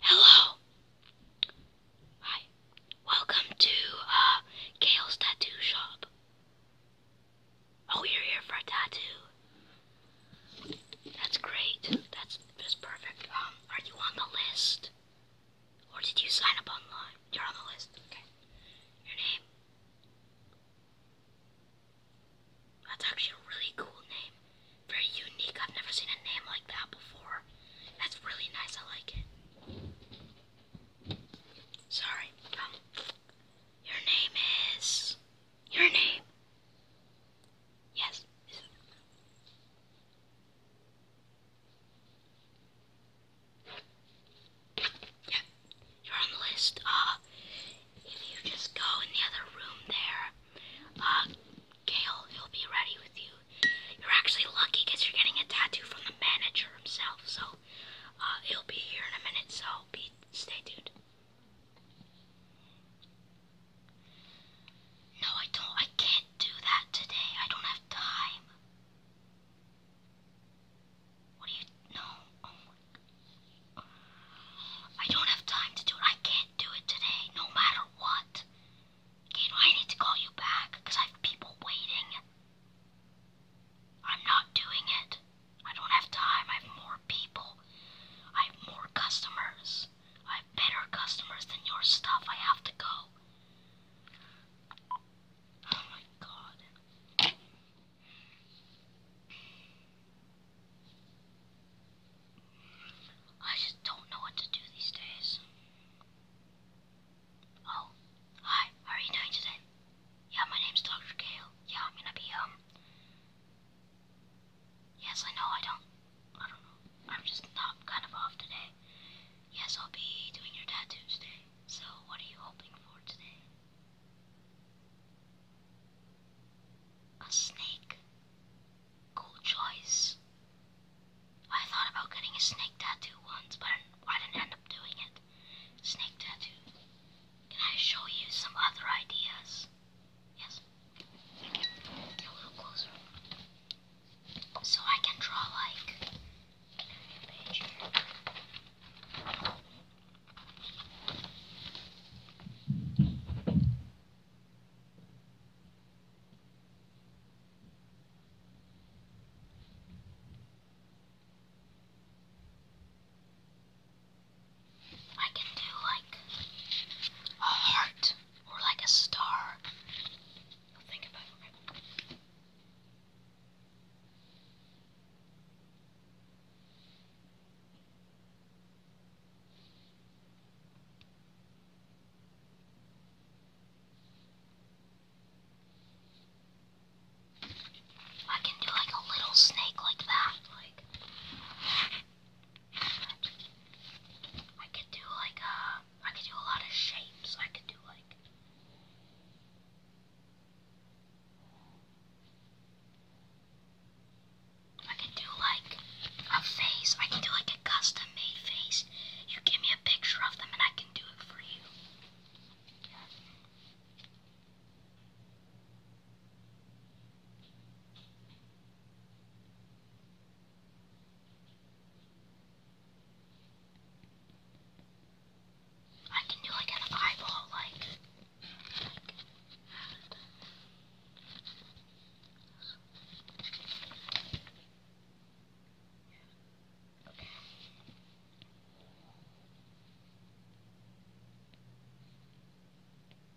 Hello. Hi. Welcome to uh Kale's tattoo shop. Oh, you're here for a tattoo. That's great. That's just perfect. Um, are you on the list? Or did you sign up online? You're on the list. Okay. Your name. That's actually a really cool name. Very unique. I've never seen a name like that before. That's really nice. I like it. Sorry. Um, your name is. Your name. Yes. Yeah, you're on the list. Uh, if you just go in the other room there, uh, Gail, he'll be ready with you. You're actually lucky because you're getting a tattoo from the manager himself, so uh, he'll be here in a minute, so be stay tuned. No, I don't. I can't do that today. I don't have time. What do you know? Oh I don't have time to do it. I can't do it today, no matter what. Gato, I need to call you back because I have people waiting. I'm not doing it. I don't have time. I have more people. I have more customers. I have better customers than your stuff. I have to go. Oh my god. I just don't know what to do these days. Oh, hi, how are you doing today? Yeah, my name's Dr. Gale. Yeah, I'm gonna be, um... Yes, I know, I don't... I don't know. I'm just not kind of off today. Yes, I'll be doing your tattoo today. So, what are you hoping for today? A snake. Cool choice. I thought about getting a snake tattoo once, but I didn't end up doing it. Snake tattoo. Can I show you some other ideas? Yes. A little closer. So I can draw like I can do like a heart or like a star i can do like a little snake like that, like I could do like uh I could do a lot of shapes. I could do like I could do like a face. I could do like a custom made face. You give me a picture of them and I can do it for you. I can do like an eyeball, like. Okay.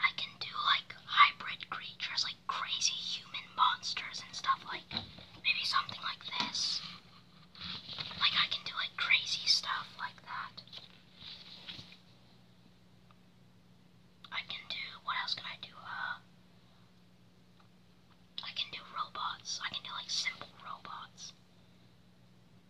I can do like hybrid creatures, like crazy human monsters and stuff, like maybe something like this. Like I can do like crazy stuff like that. I can do, what else can I do? Uh, I can do robots. I can do like simple robots.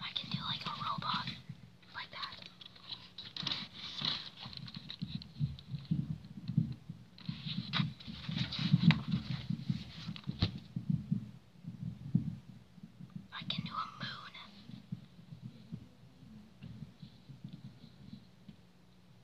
I can do like a robot like that. I can do a moon.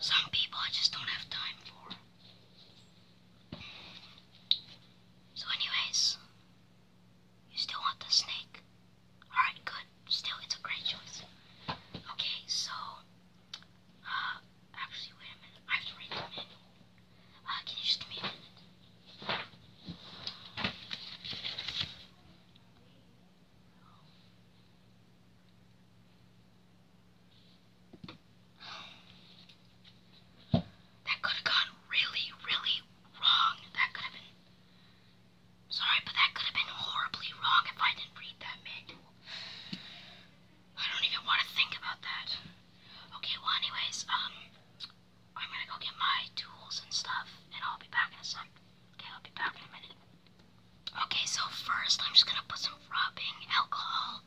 Some people I just don't have time for. So anyways, you still want the snake? Alright, good. Still, it's a great choice. Okay, so, uh, actually, wait a minute. I have read the manual. Uh, can you just wait a minute? That could have gone really, really wrong. That could have been. Sorry, but that could have been horribly wrong if I didn't read that manual. I don't even want to think about that. Okay, well, anyways, um, I'm gonna go get my tools and stuff, and I'll be back in a sec. Okay, I'll be back in a minute. Okay, so first I'm just gonna put some rubbing alcohol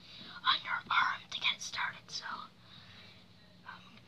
on your arm to get it started. So, um, so.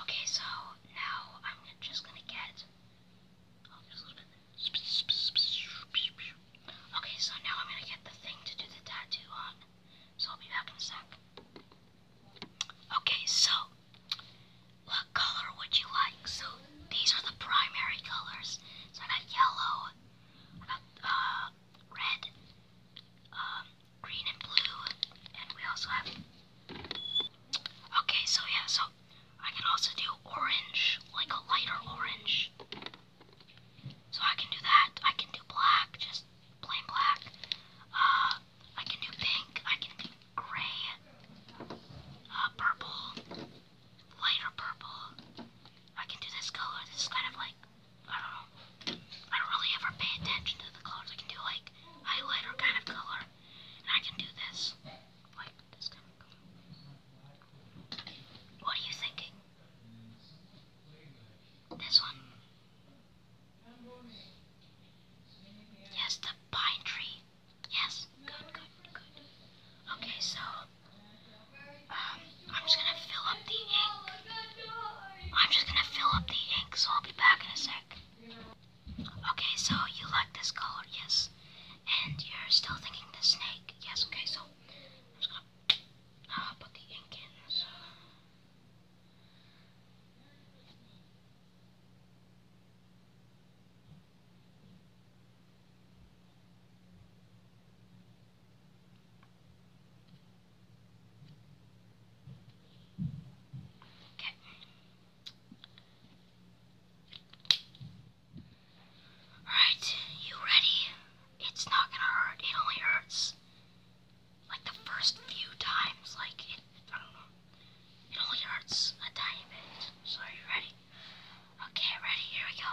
Okay, so now I'm just gonna get. Oh, okay, so now I'm gonna get the thing to do the tattoo on. So I'll be back in a sec. Okay, so what color would you like? So these are the primary colors. So I got yellow, I got uh, red, um, green and blue, and we also have. Okay, so yeah, so I can also do orange, like a lighter orange. So I can do that. I can do black, just plain black. Uh, I can do pink. I can do gray, uh, purple, lighter purple. I can do this color. This is kind of like I don't know. I don't really ever pay attention to the colors. I can do like highlighter kind of color. And I can do this. What are you thinking? This one? Yes, the pine tree. Yes, good, good, good. Okay, so um, I'm just gonna fill up the ink. I'm just gonna fill up the ink, so I'll be back in a sec. Okay, so you like this color, yes. And you're still thinking the snake, yes. Okay, so I'm just gonna uh, put the ink in. So. Okay. Alright, you ready? It's not gonna hurt. It only hurts like the first few times. Like, it, I don't know. It only hurts a tiny bit. So, are you ready? Okay, ready? Here we go.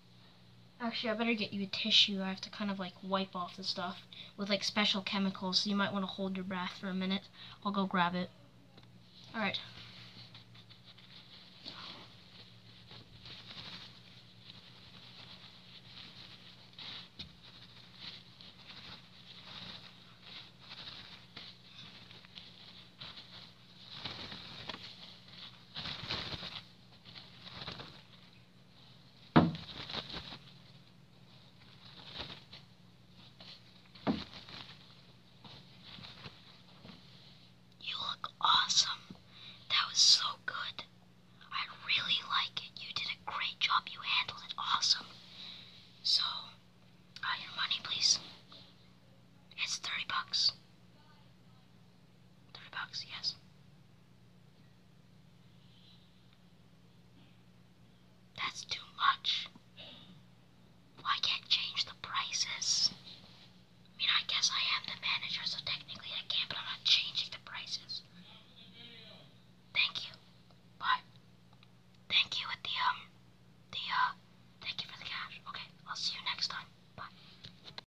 Actually, I better get you a tissue. I have to kind of like wipe off the stuff with like special chemicals, so you might want to hold your breath for a minute. I'll go grab it. Alright. You look awesome. That was so good. I really like it. You did a great job. You handled it awesome. So, uh, your money, please. It's 30 bucks. Three bucks, yes. That's too much. Why can't change the prices? I mean, I guess I am the manager, so technically I can, but I'm not changing the prices. Thank you. Bye. Thank you with the, um, the, uh, thank you for the cash. Okay, I'll see you next time. Bye.